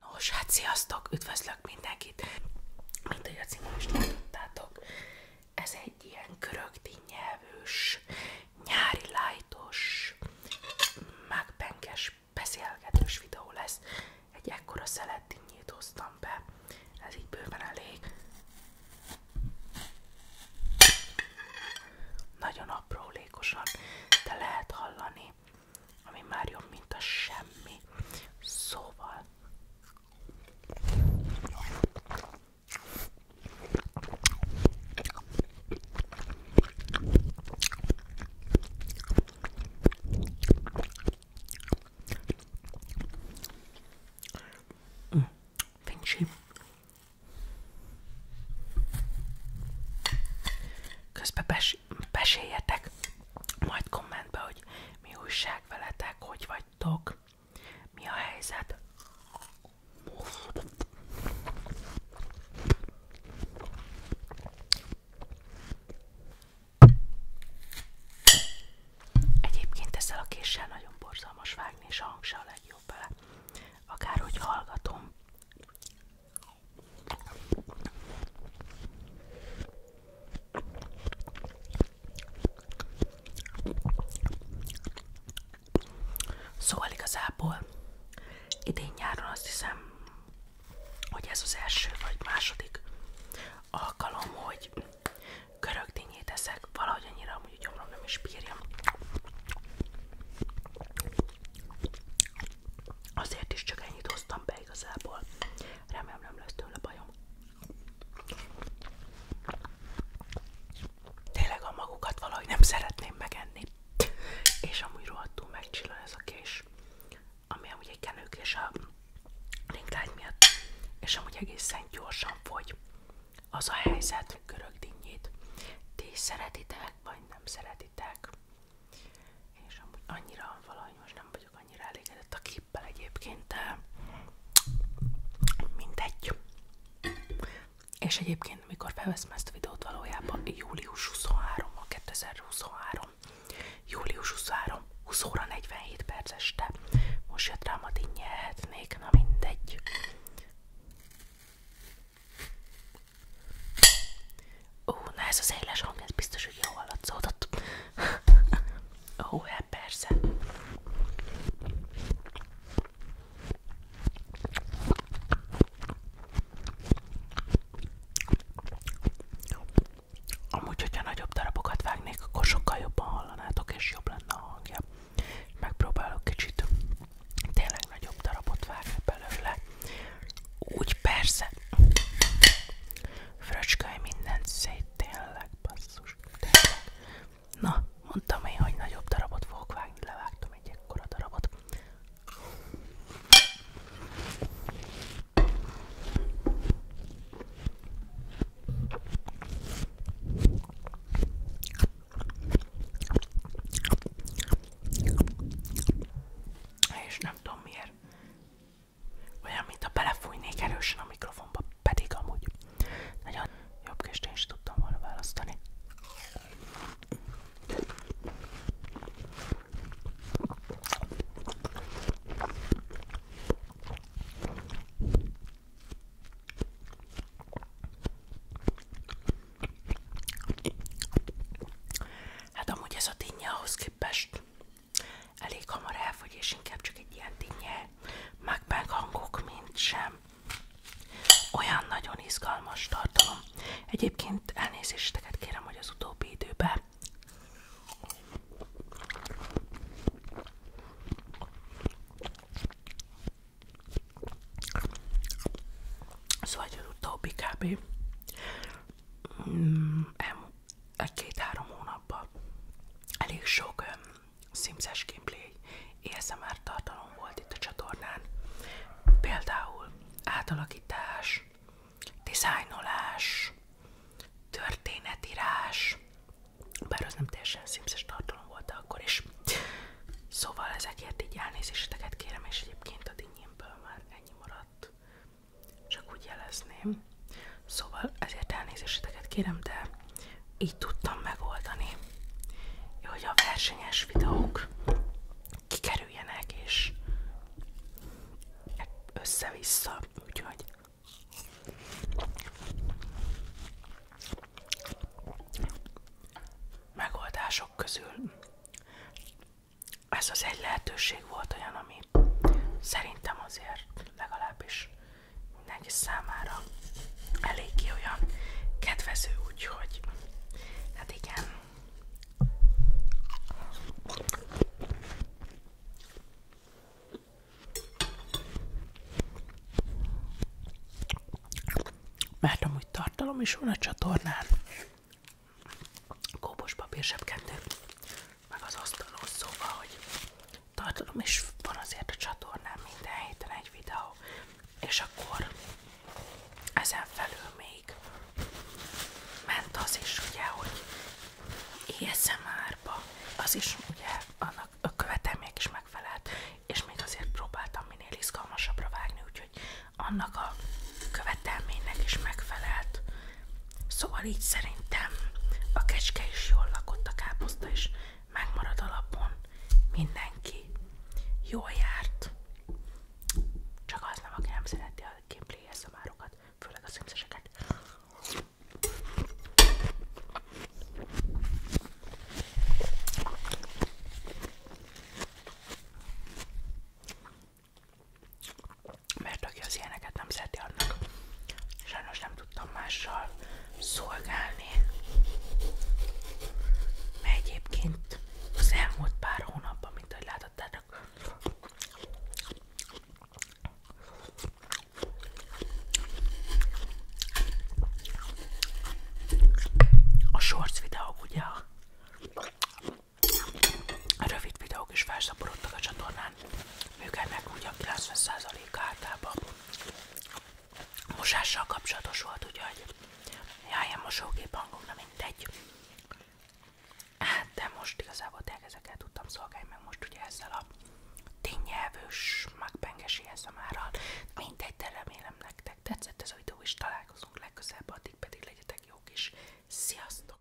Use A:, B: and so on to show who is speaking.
A: Nos, hát sziasztok! Üdvözlök mindenkit! Mint ahogy a címon is látottátok, ez egy ilyen körögdínyelvős, nyári lájtos, mágpenkes, beszélgetős videó lesz. Egy ekkora szeletdinnyét hoztam be, ez így bőven elég. Nagyon aprólékosan, de lehet hallani valami, ami már jobb, mint a semmi. Szóval... Mm, hm, fincsi. Közben és meséljetek majd kommentbe, hogy mi újság veletek, hogy vagytok, mi a helyzet. Egyébként ezzel a késsel nagyon borzalmas vágni, és a hang a legjobb bele. Akárhogy hallgatom, Szóval igazából idén nyáron azt hiszem, hogy ez az első vagy második alkalom, hogy görögdínyét eszek, valahogy annyira amúgy gyomrom nem is bírja. Azért is csak ennyit hoztam be igazából. Remélem nem lesz tőle bajom. Tényleg a magukat valahogy nem szeretném megenni. És amúgy rohadtul megcsillan ez a kés, ami amúgy egy kenőkés a linklágy miatt, és amúgy egészen gyorsan fogy. Az a helyzet, görög dinnyét. Ti szeretitek, vagy nem szeretitek? és amúgy annyira valahogy most nem vagyok annyira elégedett a képpel egyébként, de mindegy. És egyébként, amikor felveszem ezt a videót valójában, július 23 a 2023, július 23, 20 óra 47 perc este, most jött rám a dinnyehetnék, na mindegy. Ó, na ez az éles hang, ez biztos, hogy jó hallatszódott. Ó, hát persze. Amúgy, hogyha nagyobb darabokat vágnék, akkor sokkal jobban hallanátok, és jobb lenne a hangja. Megpróbálok kicsit tényleg nagyobb darabot vágni belőle. Úgy persze. Fröcsköly mindent szét, tényleg, basszus, tényleg. Na, mondtam én, hogy nagyobb darabot fogok vágni, levágtam egy ekkora darabot. És nem tudom miért olyan, mintha belefújnék erősen a mikrofonba, pedig amúgy nagyon jobb kést én is tudtam volna választani. Hát amúgy ez a dinnye ahhoz képest Elég hamar elfogy, és inkább csak egy ilyen dinnye mukbang hangok, mint sem. Olyan nagyon izgalmas tartalom. Egyébként elnézéseteket kérem, hogy az utóbbi időben Szóval az utóbbi kb. Mm, el, egy-két-három hónapban elég sok um, Sims-es gameplay ASMR tartalom volt itt a csatornán. Például átalakítás, dizájnolás, történetírás, bár az nem teljesen sims tartalom volt akkor is. Szóval ezekért így elnézéseteket kérem, és egyébként a dinnyémből már ennyi maradt csak úgy jelezném. Szóval ezért elnézéseteket kérem, de így tudtam megoldani, hogy a versenyes videók kikerüljenek, és össze-vissza, úgyhogy megoldások közül ez az egy lehetőség volt olyan, ami szerintem azért legalábbis mindenki számára elég eléggé olyan kedvező, úgyhogy hát igen. Mert amúgy tartalom is van a csatornán, kóbos papír sebkendő, meg az asztalos, szóval, hogy tartalom is van azért a csatornán minden héten egy videó, és akkor ezen felül még ment az is ugye, hogy ASMR-ba, az is ugye annak a követelmények is megfelelt, és még azért próbáltam minél izgalmasabbra vágni, úgyhogy annak a követelménynek is megfelelt Szóval így szerintem a kecske is jól lakott, a káposzta is megmarad alapon, mindenki jó járt, csak az nem, aki nem szereti a gameplay szamárokat, főleg a szimszeseket mert aki az ilyeneket nem szereti, annak sajnos nem tudtam mással szolgálni. Mert egyébként az elmúlt pár hónapban, mint ahogy láthattátok, a shorts videók ugye a Rövid videók is felszaporodtak a csatornán, működnek ugyan 90% általában. Mosással kapcsolatos volt, úgyhogy jaj, a mosógép hangom, na mindegy. Hát, de most igazából tényleg ezeket tudtam szolgálni, most ugye ezzel a tényelvős, magpengesi eszemárral. Mindegy, de nektek tetszett ez a videó, találkozunk legközelebb, addig pedig legyetek jók is. Sziasztok!